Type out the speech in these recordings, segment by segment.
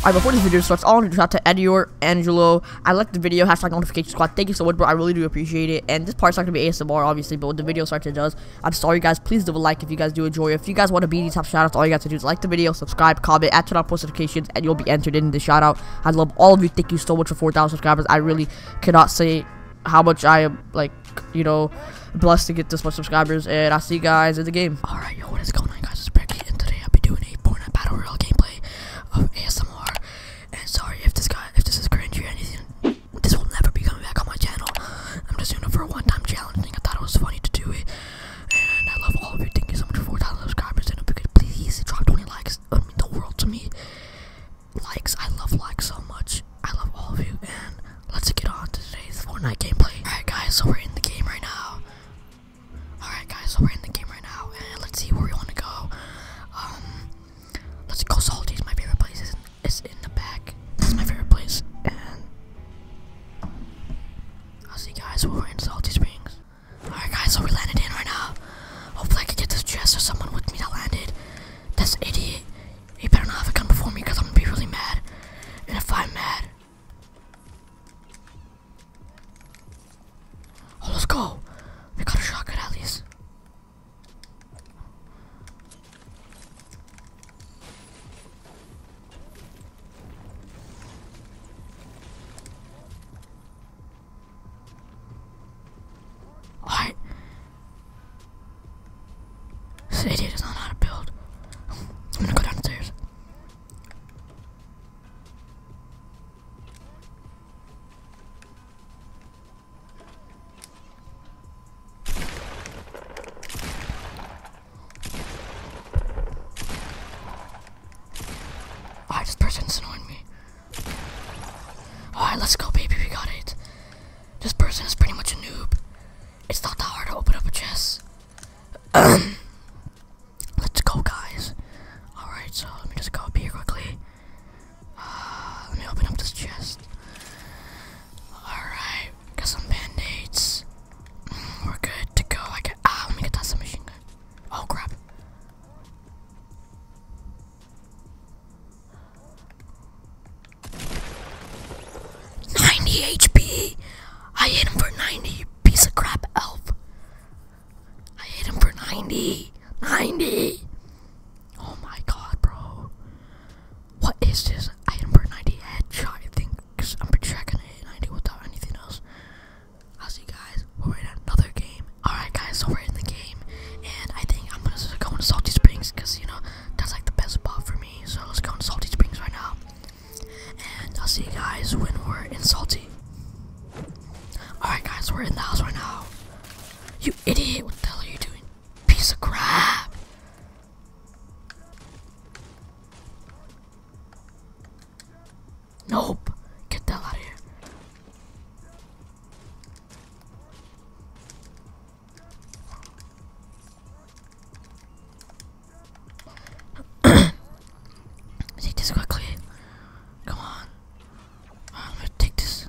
Alright, before this video starts, I want to shout out to Edior, Angelo. I liked the video, hashtag notification squad. Thank you so much, bro. I really do appreciate it. And this part's not going to be ASMR, obviously, but when the video starts, it does. I'm sorry, guys. Please leave a like if you guys do enjoy. If you guys want to be these top shoutouts, all you guys have to do is like the video, subscribe, comment, and turn on post notifications and you'll be entered in the shoutout. I love all of you. Thank you so much for 4,000 subscribers. I really cannot say how much I am, like, you know, blessed to get this much subscribers. And I'll see you guys in the game. Alright, yo, what is going on, guys? It's Bricky, and today I'll be doing a Fortnite Battle Royale gameplay of ASMR. And sorry if this guy, if this is cringy or anything, this will never be coming back on my channel. I'm just doing it for a one-time challenge thing. I thought it was funny to do it. And I love all of you. Thank you so much for 4,000 subscribers. And if you could please drop 20 likes, it would mean the world to me. Likes, I love likes so much. I love all of you. And let's get on to today's Fortnite gameplay. Alright, guys, so we're in the game right now. Alright, guys, so we're in the game right now. And let's see where we want to go. Um, let's go Salty's my favorite place. It's in, in the back. That's my favorite place. And i see guys we're in Salty Springs. Alright guys, so we landed in right now. Hopefully I can get this chest or someone with me that landed. This idiot. He better not have a gun before me because I'm gonna be really mad. And if I'm mad. Oh let's go. We got a shotgun at least. Alright. This idiot does not know how to build. I'm gonna go downstairs. Alright, this person's annoying me. Alright, let's go, baby. We got it. This person is pretty much a noob. It's not that hard to open up a chest. let's go, guys. Alright, so let me just go up here quickly. Uh, let me open up this chest. Alright, got some band-aids. Mm, we're good to go. I get, ah, let me get that submachine gun. Oh crap. Ninety HP. I hit him for ninety. Piece of crap elf. I hit him for ninety. Ninety. Oh my god, bro. What is this? I hit him for ninety headshot. I think because I'm pretty sure I can hit ninety without anything else. I'll see you guys when we're in another game. Alright guys, so we're in the game and I think I'm gonna go to Salty Springs because you know that's like the best spot for me. So let's go to Salty Springs right now. And I'll see you guys when we're in Salty. Alright guys, we're in the house right now. You idiot, what the hell are you doing? Piece of crap. Nope. Get the hell out of here. take this quickly. Come on. Uh, I'm gonna take this.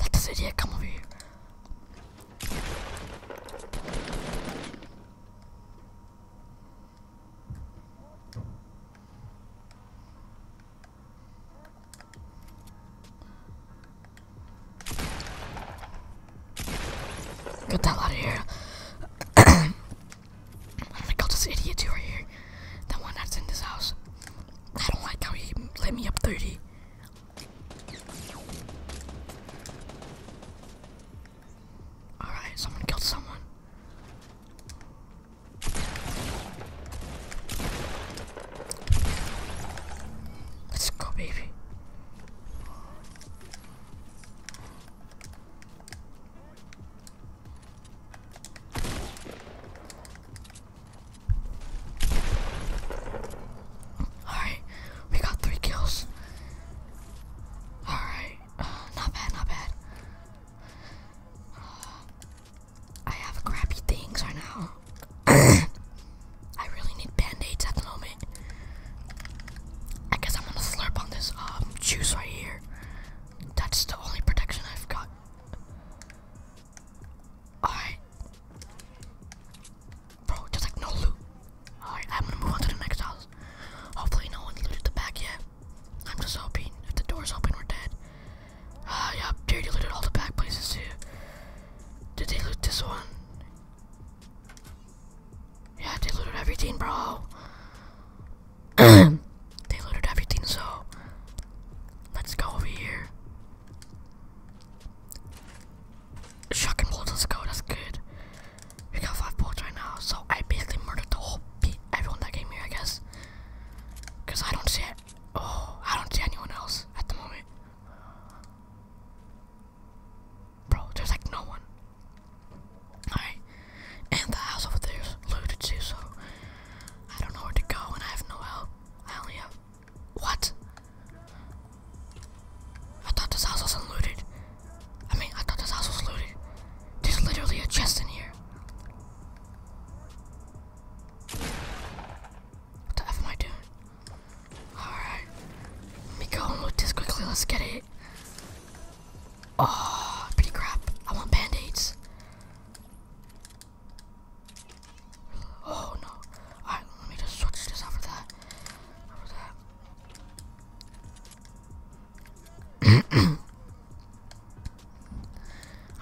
Let this idiot come over here. Get that out of here. I'm going this idiot over here. That one that's in this house. I don't like how he let me up 30. Alright, someone killed someone. Let's go, baby. Alright, we got three kills. Alright, uh, not bad, not bad. Uh, I have crappy things right now. I really need band-aids at the moment. I guess I'm gonna slurp on this um, juice right here. That's the only protection I've got. Alright. Bro, there's like no loot. Alright, I'm gonna move on to the next house. Hopefully no one's looted the back yet. I'm just hoping if the door's open we're dead. Ah, uh, yep, they looted all the back places too. Did they loot this one? Yeah, they looted everything, bro. They looted everything, so let's go over here. Shotgun bullets, go, that's good. We got five bullets right now, so I basically murdered the whole everyone that came here, I guess. Cause I don't see it. Oh, I don't see anyone else at the moment. Bro, there's like no one. Alright. And the house over there is looted too, so I don't know where to go and I have no help. I only have. What? I thought this house was looted. I mean, I thought this house was looted. There's literally a chest in here. What the F am I doing? Alright. Let me go and loot this quickly. Let's get it. Oh, pretty crap. I want band aids. Oh no. Alright, let me just switch this over that. Over that.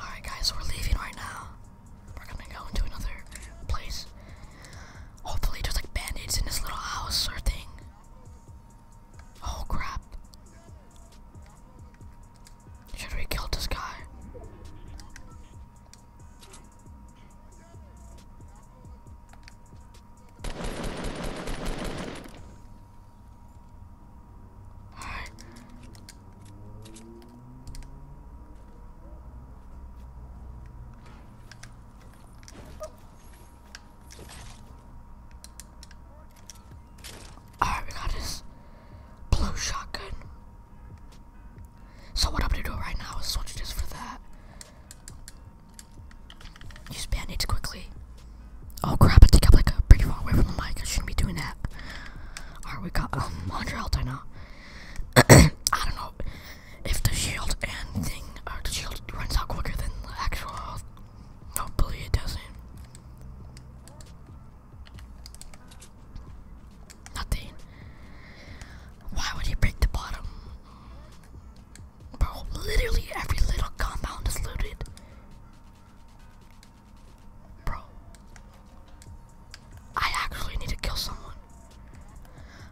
Alright guys, we're leaving right now. We're gonna go into another place. Hopefully there's like band-aids in this little house or thing. Oh crap. Should we kill this guy? Alright, we got this blue shotgun. So what I'm gonna do right now is switch this for that. Use band-aids quickly. Oh crap, I think up am like pretty far away from the mic. I shouldn't be doing that. Alright, we got a um, 100 health right now. I don't know if the shield and thing, or the shield runs out quicker than the actual Hopefully it doesn't. Nothing. Why would he break the bottom? Bro, literally every little compound is looted. Bro. I actually need to kill someone.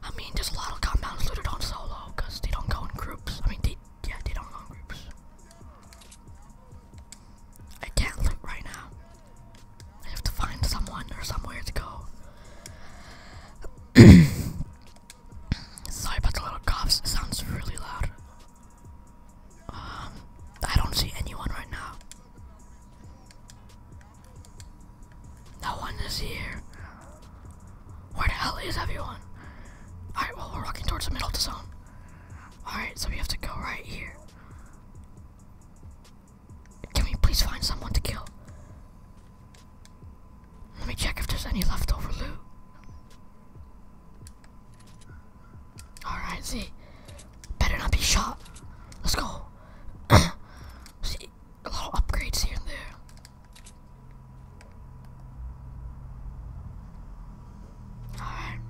I mean, there's a lot of compounds looted on solo because they don't go in groups. I mean, they, yeah, they don't go in groups. I can't look right now. I have to find someone or somewhere to go. Sorry about the little coughs. It sounds really loud. Um, I don't see anyone right now. No one is here. Where the hell is everyone? Alright, well, we're walking towards the middle of the zone. Alright, so we have to go right here. Can we please find someone to kill? Let me check if there's any leftover loot. Alright, see. Better not be shot. Let's go. see, a little upgrades here and there. Alright.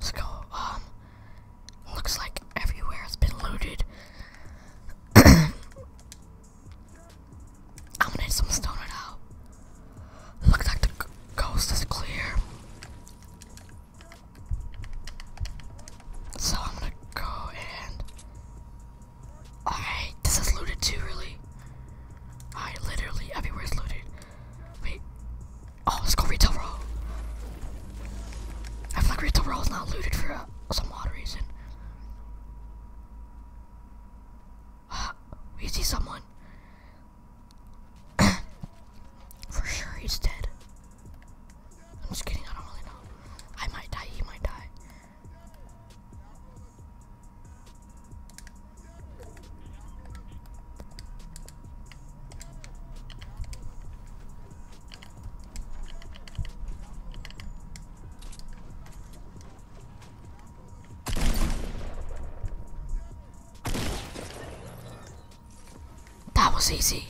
Let's go. Um, looks like everywhere has been looted. I'm gonna need some stone right now. Looks like the coast is clear. So I'm gonna go and. Alright, this is looted too, really. I literally everywhere's looted. Wait. Oh, let's go retail row. I feel like retail row is not looted for uh, some odd reason. we see someone. for sure he's dead. I'm just kidding, I don't really know. I might die, he might die. That was easy.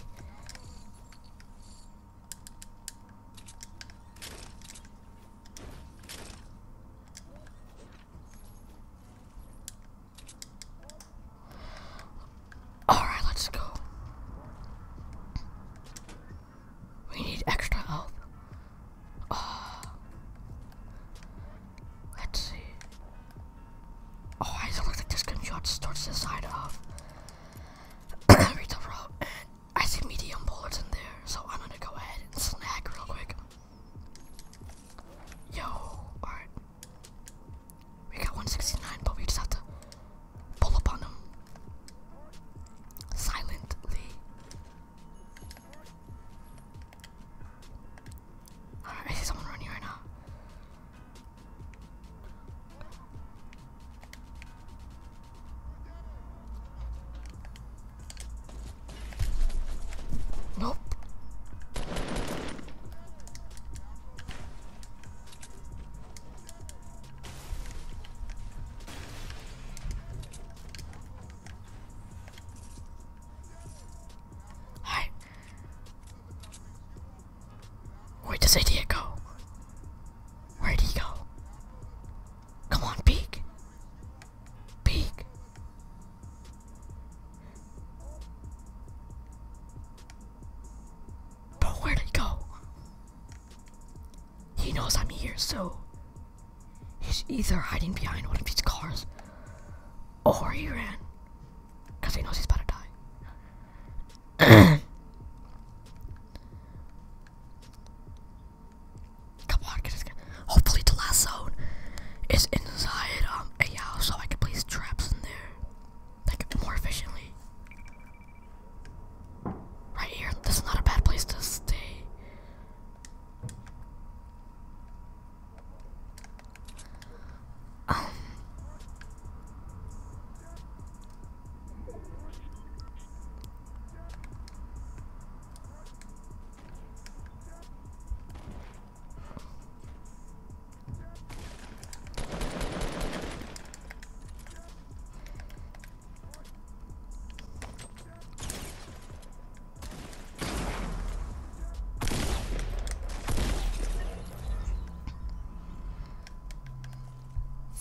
Alright, let's go. We need extra help. Uh, let's see. Oh, I don't think this can shot towards the side of Rita Row. I see medium bullets in there, so I'm gonna go ahead and snag real quick. Yo, alright. We got 169, but we just have to pull up on them. Silently. Alright, I someone running right now. Nope. Hey. Where does idea go? Where'd he go? Come on, peek. Peek. But where'd it go? He knows I'm here, so he's either hiding behind one of these cars or he ran. Because he knows he's about to die. Come on, Hopefully, the last zone is inside um, a house, so I can place traps in there, like more efficiently. Right here, this is not a bad place to stay. Um,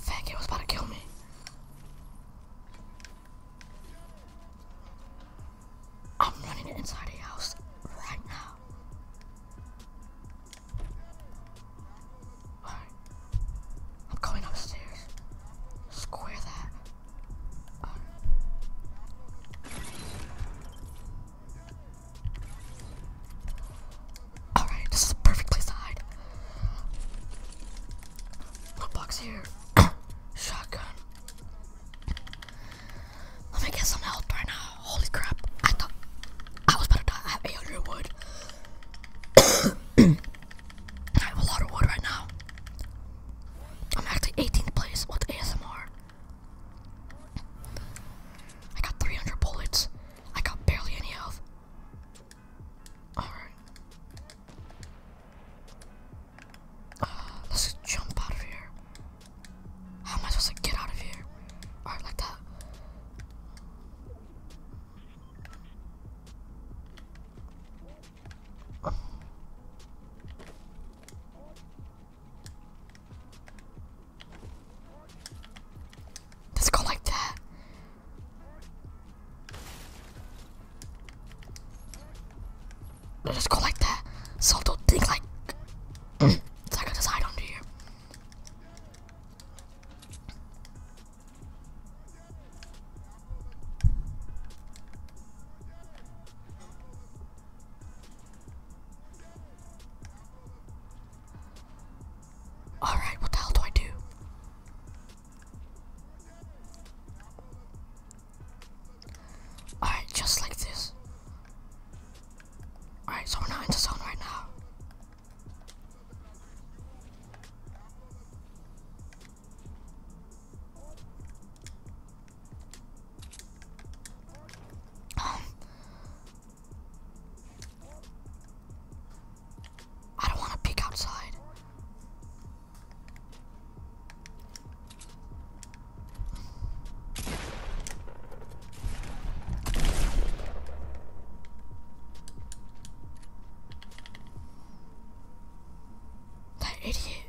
Fuck, it was about to kill me. I'm running inside the house right now. I'm going upstairs. Square that. Alright, this is the perfect place to hide. Lockbox here. Shotgun. Let me get some health right now. Holy crap. I thought I was better. to I have 800 wood. I have a lot of wood right now. I'm actually 18th place with ASMR. I got 300 bullets. I got barely any health. Alright. Ah, let's just jump out of here. How am I supposed to get out of here? Alright, like that. Let's go like that. Let us go like that. So don't think like mm, it's like a decide under here. Alright, what the hell do I do? Alright, just like this. Alright, so we're not in the zone right now. Um, I don't want to peek outside. That idiot.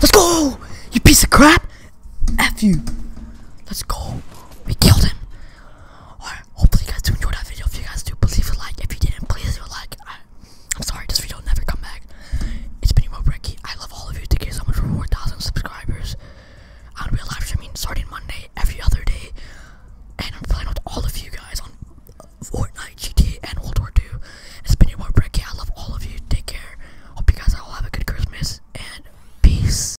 Let's go! You piece of crap! F you. Let's go. We killed him. Alright, hopefully you guys do enjoy that video. If you guys do, please leave a like. If you didn't, please leave a like. I, am sorry, this video will never come back. It's been your Emo Brecky. I love all of you. Thank you so much for 4,000 subscribers. I'll live streaming starting Monday, every other day. And I'm playing with all of you guys on Fortnite, GTA, and World War II. It's been your Emo Brecky. I love all of you. Take care. Hope you guys all have a good Christmas. And peace.